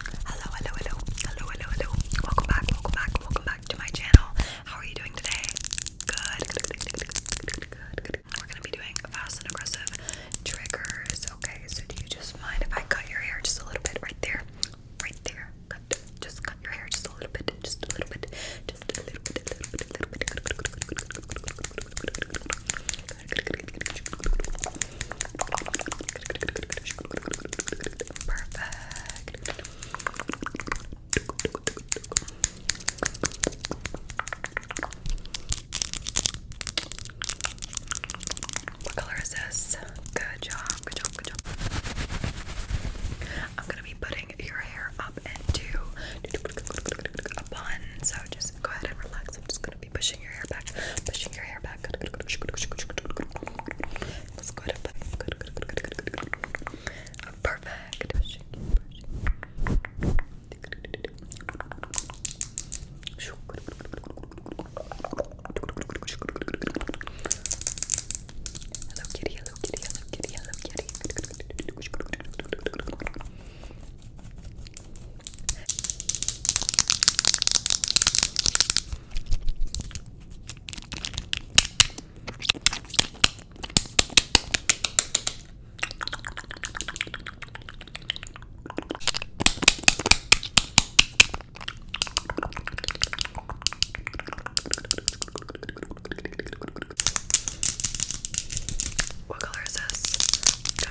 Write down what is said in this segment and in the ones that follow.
Hello, hello, hello, hello, hello, hello. Welcome back, welcome back, welcome back to my channel. How are you doing today? Good, We're gonna be doing fast and aggressive triggers. Okay, so do you just mind if I cut your hair just a little bit right there? Right there. just cut your hair just a little bit, just a little bit, just a little bit, Perfect. What color is this? Good job, good job, good job. I'm gonna be putting your hair up into a bun, so just go ahead and relax. I'm just gonna be pushing your hair back, pushing your hair back. Let's go ahead and good, good, good, good, good, good. Perfect. Pushing, pushing. Hello kitty, hello kitty, hello kitty, hello kitty. What color is this? Good.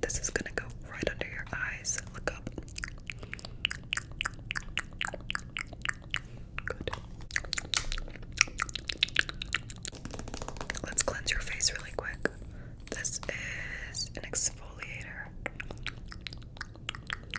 This is gonna go right under your eyes. Look up. Let's cleanse your face really quick. This is an exfoliator.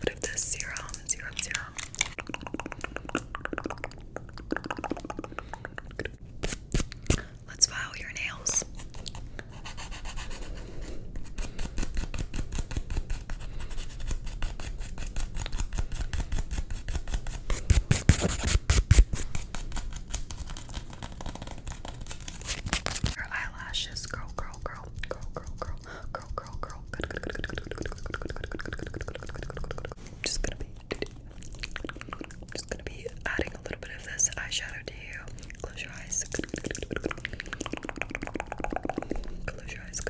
But if this serum, serum, serum. Let's file your nails. Her eyelashes, girl, girl, girl, girl, girl, girl. Girl, girl, girl. Good, good, good, good, good, good, good, good, good, good, good, good, good, good, good. Just gonna be just gonna be adding a little bit of this eyeshadow to you. Close your eyes. Close your eyes.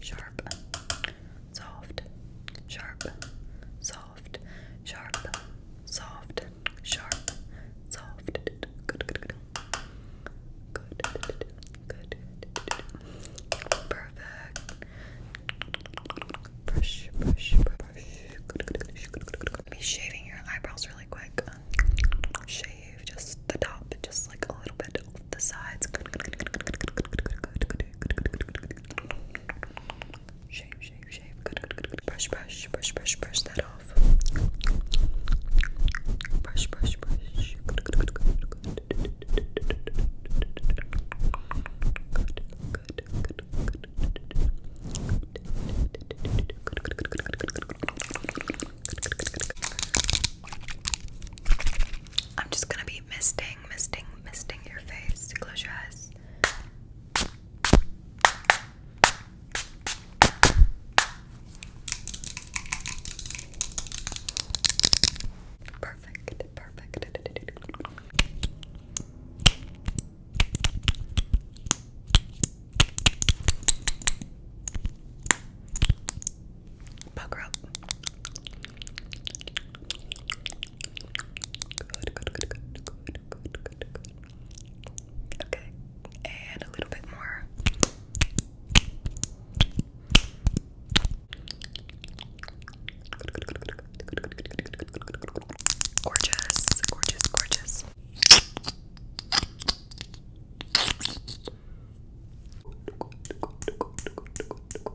Sharp soft, sharp, soft, sharp, soft, sharp, soft. Good, good, good. Good, good, good. Perfect. Brush, brush, brush. Good, good, good, good, good. Be shaving your eyebrows really quick. Shave just the top, just like a little bit off the sides. Good, good, good, good, good, good, good, good, good, Shave, shave, shave. Brush, brush, brush, brush, brush that off. Brush, brush, brush. I'm just gonna be misting, misting, misting your face. Close your eyes. perfect. Perfect. Pucker up. Good, good, good, good, good, good, good, good. Okay, and a little bit more. Gorgeous, gorgeous, gorgeous.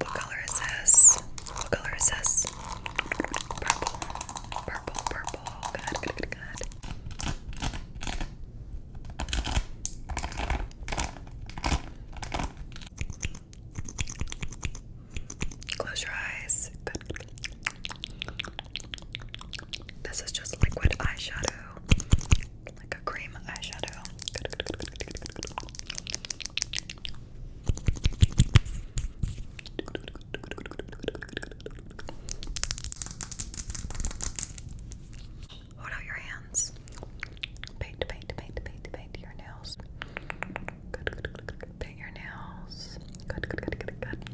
What color is this? What color is this? Purple. Purple, purple. Good, good, good, Close your eyes. Good. This is just liquid eyeshadow, like a cream eyeshadow. good, good, good, good. Hold out your hands. Paint, paint, paint, paint, paint your nails. Paint your nails. Good, good, good, good, good.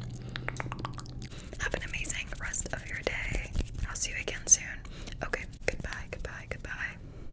Have an amazing rest of your day. I'll see you again soon. Okay, goodbye, goodbye, goodbye.